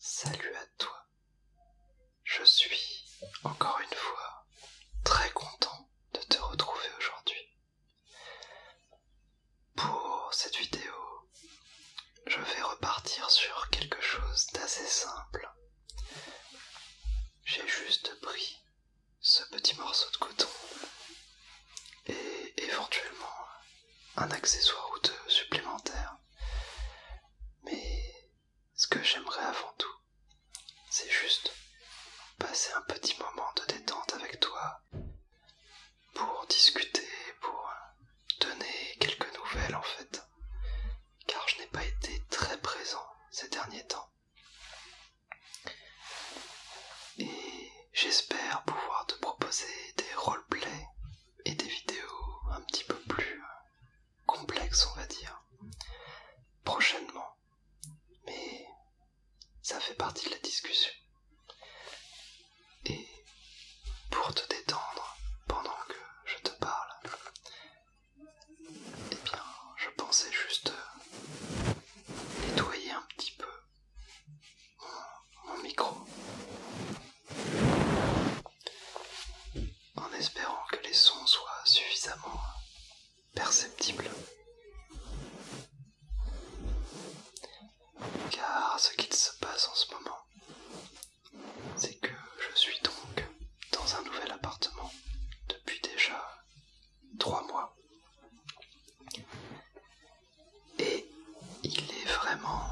Salut à toi. Je suis encore une fois très content de te retrouver aujourd'hui. Pour cette vidéo je vais repartir sur quelque chose d'assez simple. J'ai juste pris ce petit morceau de coton et éventuellement un accessoire ou deux supplémentaires. Mais ce que j'aimerais avant tout, c'est juste passer un petit moment de détente avec toi, pour discuter, pour euh, donner quelques nouvelles en fait, car je n'ai pas été très présent ces derniers temps. Et j'espère pouvoir te proposer des roleplays et des vidéos un petit peu plus euh, complexes, on va dire, prochainement. Mais ça fait partie de la discussion. Et pour te détendre pendant que je te parle, eh bien, je pensais juste nettoyer un petit peu mon micro en espérant que les sons soient suffisamment perceptibles. Car ce qui se passe en ce moment, c'est que je suis donc dans un nouvel appartement depuis déjà trois mois. Et il est vraiment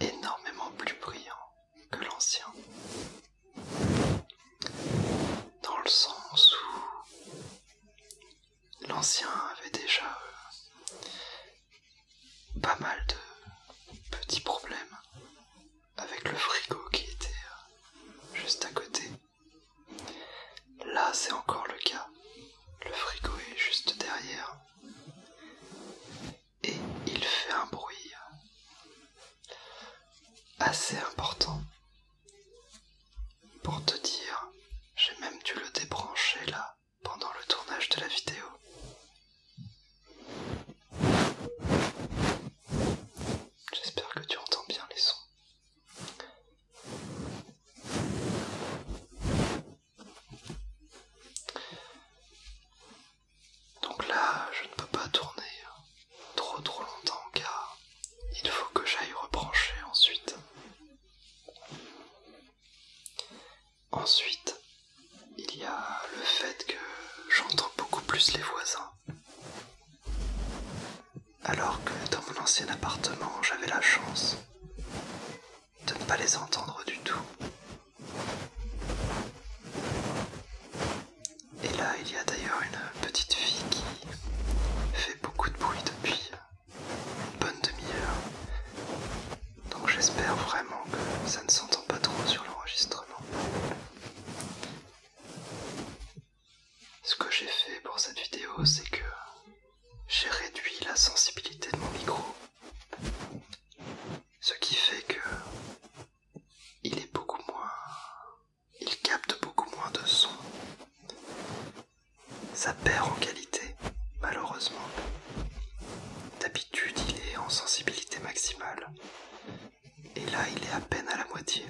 énormément plus brillant que l'ancien. Dans le sens où l'ancien avait déjà euh, pas mal de petits problèmes avec le frigo qui était euh, juste à côté. Là, c'est encore le cas. Le frigo est juste derrière. Et il fait un bruit euh, assez important. Pour te dire, j'ai même dû le débrancher là pendant le tournage de la vidéo. J'espère que tu entends bien les sons. Donc là, je ne peux pas tourner hein. trop trop longtemps car il faut que j'aille rebrancher ensuite. Ensuite, il y a le fait que j'entends beaucoup plus les voisins. Alors que dans mon ancien appartement, j'avais la chance de ne pas les entendre du tout. Et là, il y a d'ailleurs une petite fille qui fait beaucoup de bruit depuis une bonne demi-heure. Donc j'espère vraiment que ça ne s'entend pas trop sur l'enregistrement. Ce que j'ai fait pour cette vidéo, c'est que j'ai réduit la sensibilité de mon micro. Ce qui fait que il est beaucoup moins... Il capte beaucoup moins de son ça perd en qualité, malheureusement. D'habitude, il est en sensibilité maximale. Et là, il est à peine à la moitié.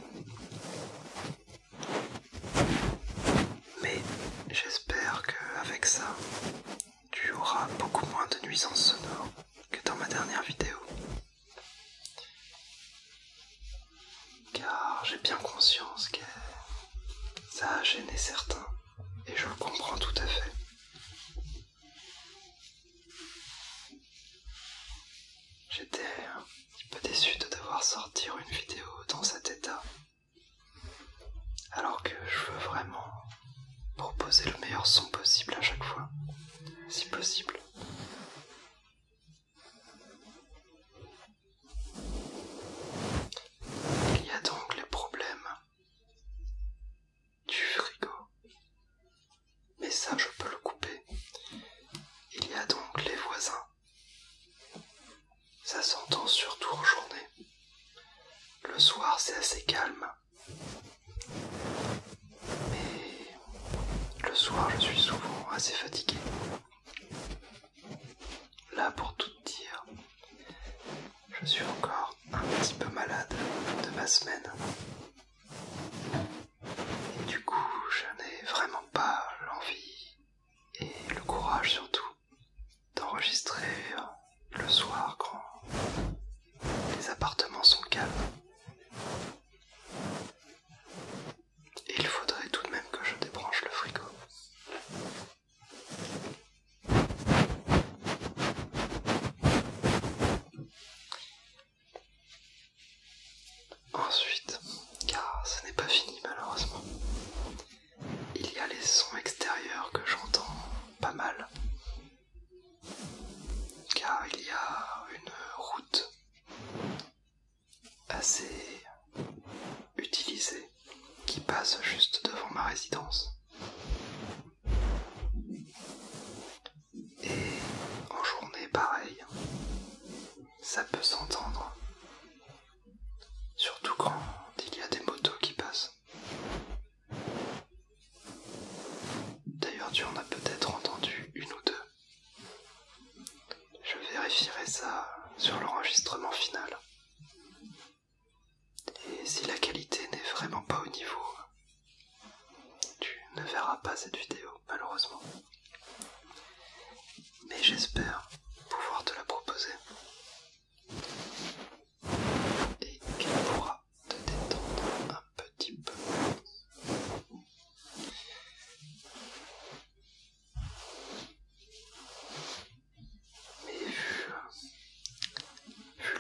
Mais j'espère qu'avec ça, tu auras beaucoup moins de nuisances sonores que dans ma dernière vidéo car j'ai bien conscience que ça a gêné certains, et je le comprends tout à fait. J'étais un petit peu déçu de devoir sortir une vidéo dans cet état, alors que je veux vraiment proposer le meilleur son possible à chaque fois, si possible. Il y a donc les problèmes du frigo. Mais ça, je peux le couper. Il y a donc les voisins. Ça s'entend surtout en journée. Le soir, c'est assez calme. Mais le soir, je suis souvent assez fatigué. Là, pour tout dire, je suis encore un petit peu malade de ma semaine. Et du coup, je n'ai vraiment pas l'envie et le courage surtout d'enregistrer le soir quand les appartements sont calmes il faudrait tout de même que je débranche le frigo. Ensuite, car ce n'est pas fini malheureusement, il y a les sons extérieurs que j'entends pas mal, car il y a une route assez utilisé qui passe juste devant ma résidence. Et en journée pareil, ça peut s'entendre. Surtout quand il y a des motos qui passent. D'ailleurs tu en as peut-être entendu une ou deux. Je vérifierai ça sur l'enregistrement final. Et si la qualité n'est vraiment pas au niveau, tu ne verras pas cette vidéo, malheureusement. Mais j'espère pouvoir te la proposer. Et qu'elle pourra te détendre un petit peu. Mais vu,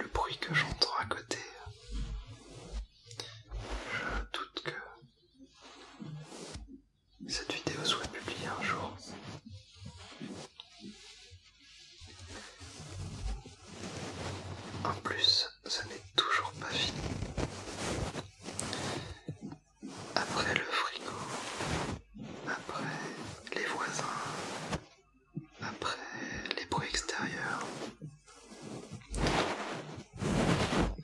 le bruit que j'entends à côté, je doute que cette vidéo soit publiée un jour. En plus, ça n'est toujours pas fini après le frigo, après les voisins, après les bruits extérieurs.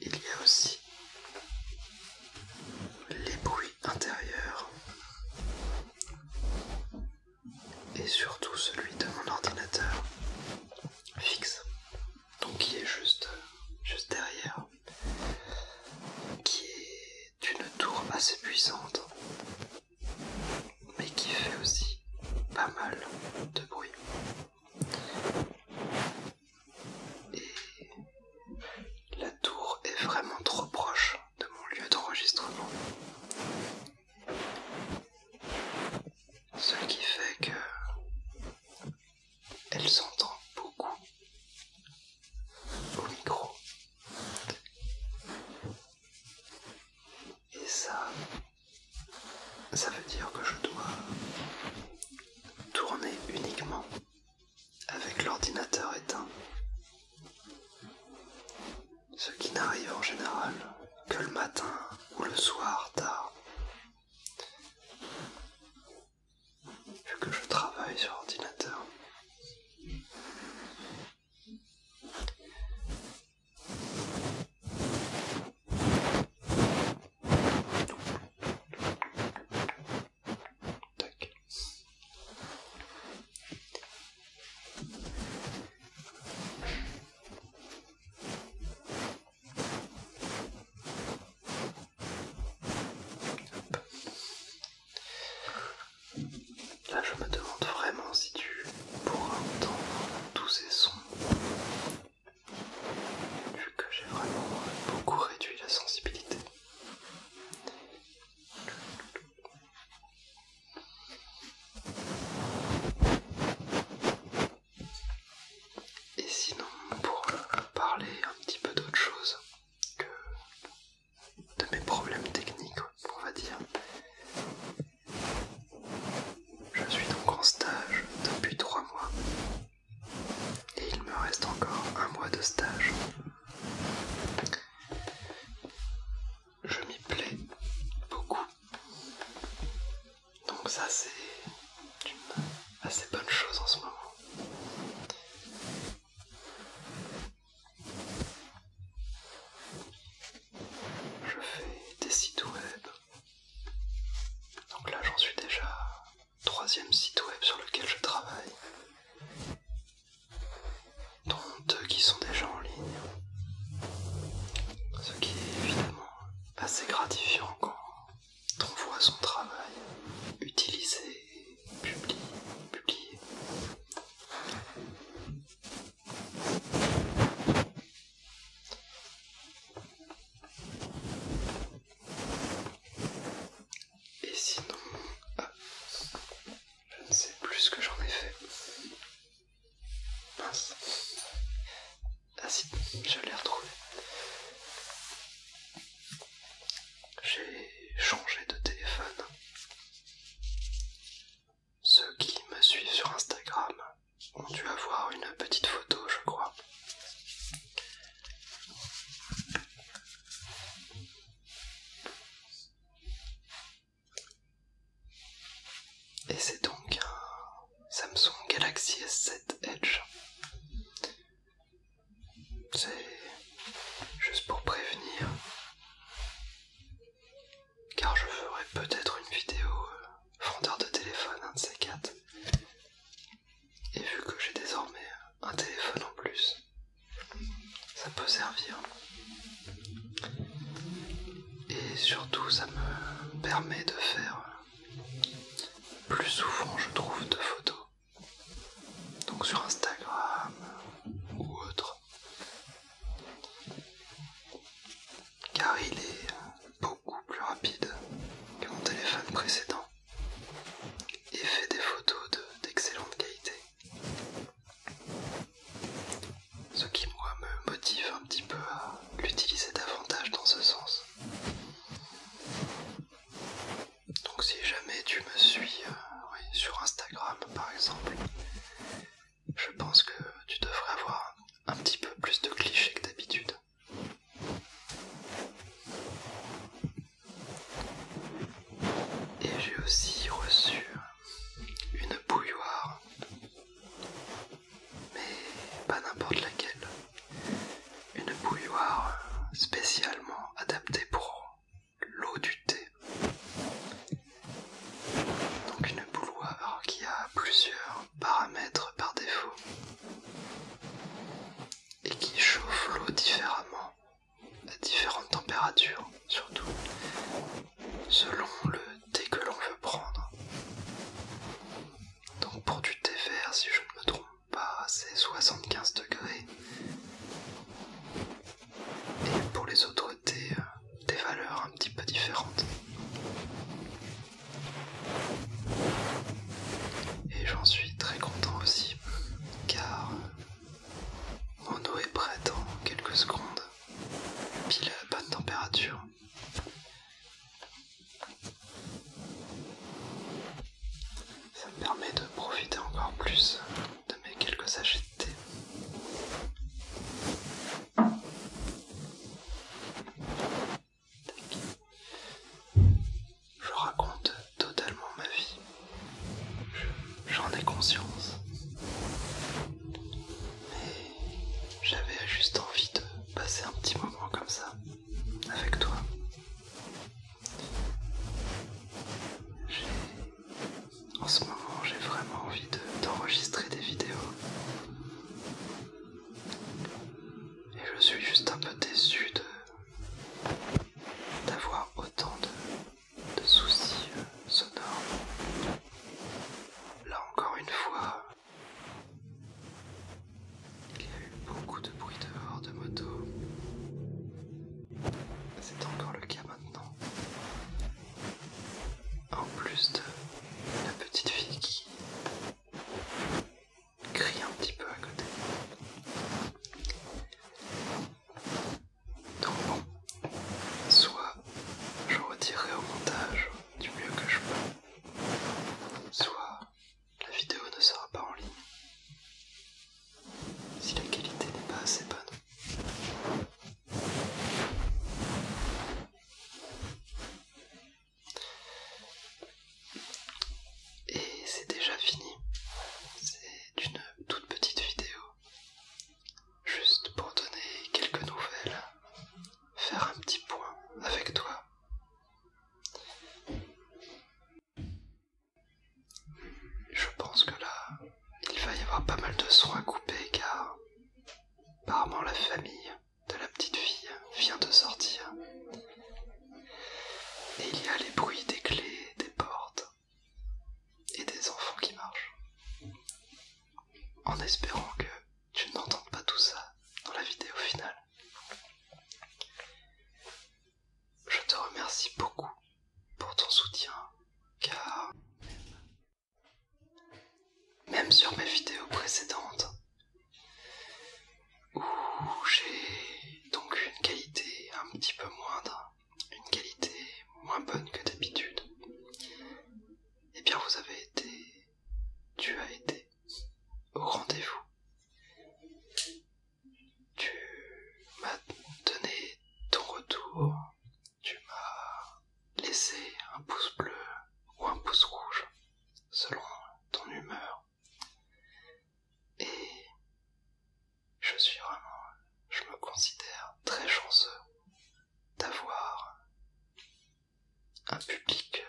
Il y a aussi les bruits intérieurs et surtout celui de mon ordinateur fixe donc qui est juste, juste derrière, qui est une tour assez puissante, mais qui fait aussi pas mal de bruit. Et la tour est vraiment trop proche de mon lieu d'enregistrement. Ce qui fait que elle s'entend beaucoup au micro. Et ça, ça veut dire que je dois tourner uniquement avec l'ordinateur éteint. Ce qui n'arrive en général que le matin ou le soir tard vu que je travaille sur ordinateur. Là, je me demande vraiment si tu pourras entendre tous ces sons, vu que j'ai vraiment beaucoup réduit la sensibilité. Et sinon, pour parler un petit peu d'autre chose que de mes problèmes techniques, on va dire, je suis donc en stage depuis 3 mois et il me reste encore un mois de stage. Je m'y plais beaucoup. Donc ça c'est une assez bonne chose en ce moment. Je fais des sites web. Donc là j'en suis déjà troisième site web sur lequel je travaille. Dont deux qui sont déjà en ligne. Ce qui est évidemment assez gratifiant quand T'envoie son travail utilisé publié. Et sinon, ah, je ne sais plus ce que j'en ai fait. Ah si, je l'ai retrouvé. J'ai changé de téléphone. Ceux qui me suivent sur Instagram ont dû avoir une petite photo, je crois. Et c'est donc Samsung Galaxy S7 Edge. C'est juste pour prévenir, car je ferai peut-être une vidéo fondeur euh, de téléphone, un de ces quatre. Et vu que j'ai désormais un téléphone en plus, ça peut servir. Et surtout, ça me permet de faire plus souvent je trouve de photos. Donc sur Instagram ou autre. Car il est beaucoup plus rapide que mon téléphone précédent et fait des photos d'excellente qualité. Ce qui moi me motive un petit peu à l'utiliser davantage dans ce sens. Donc si jamais tu me suis euh, sur Instagram par exemple, je pense que tu devrais avoir un petit peu plus de clichés que d'habitude. Et j'ai aussi reçu une bouilloire mais pas n'importe laquelle. Une bouilloire spécialement adaptée pour l'eau du thé. Donc une bouilloire qui a plusieurs paramètres par défaut et qui chauffe l'eau différemment à différentes températures, surtout selon le dès que l'on veut prendre. Donc pour du thé vert, si je ne me trompe pas, c'est 75 degrés. Et pour les autres thés, euh, des valeurs un petit peu différentes. Et j'en suis très content aussi, car euh, mon eau est prête en quelques secondes, pile à la bonne température. Ça me permet de profiter encore plus de mes quelques sachets de thé. Je raconte totalement ma vie. J'en ai conscience j'avais juste envie de passer un petit moment comme ça avec toi. En ce moment, j'ai vraiment envie d'enregistrer des vidéos. Et je suis juste un peu déçu d'avoir autant de, de soucis euh, sonores. Là encore une fois, il y a eu beaucoup de bruit dehors de moto. C'est encore le cas maintenant. En plus de la petite fille qui crie un petit peu à côté. Donc bon, soit je retirerai au montage du mieux que je peux. Soit la vidéo ne sera pas en ligne si la qualité n'est pas assez bonne. Et c'est déjà fini. C'est une toute petite vidéo Juste pour donner quelques nouvelles, faire un petit point avec toi. Je pense que là, il va y avoir pas mal de soins coupés car apparemment la famille de la petite fille vient de sortir. Et il y a les bruits des clés, des portes et des enfants qui marchent. En espérant que tu n'entends pas tout ça dans la vidéo finale. Je te remercie beaucoup pour ton soutien, car même sur mes vidéos précédentes, où j'ai donc une qualité un petit peu moindre, une qualité moins bonne que d'habitude, eh bien, vous avez été. Tu as été au rendez-vous. Tu m'as donné ton retour. Tu m'as laissé un pouce bleu ou un pouce rouge, selon ton humeur. Et je suis vraiment. Je me considère très chanceux d'avoir un public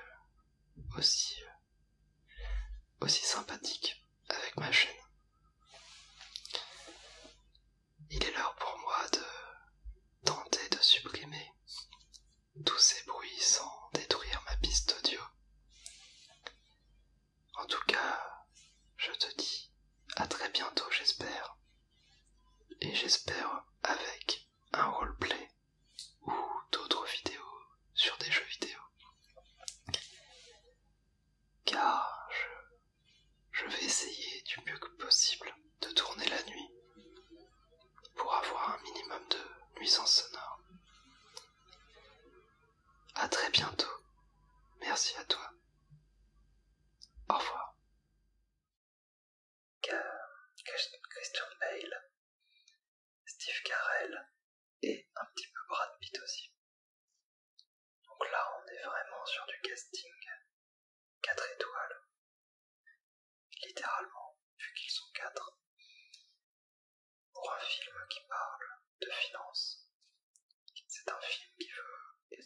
aussi, aussi sympathique avec ma chaîne. Il est l'heure pour moi de tenter de supprimer tous ces bruits sans détruire ma piste audio. En tout cas, je te dis à très bientôt j'espère. Et j'espère avec un roleplay ou d'autres vidéos sur des jeux vidéo. Car je, vais essayer du mieux que possible de tourner la nuit pour avoir un minimum de nuisance sonore. à très bientôt. Merci à toi. Au revoir. Christian Bale, Steve Carell et un petit peu Brad Pitt aussi. Donc là, on est vraiment sur du casting 4 étoiles. Littéralement, vu qu'ils sont 4. Pour un film qui parle de finances, c'est un film qui veut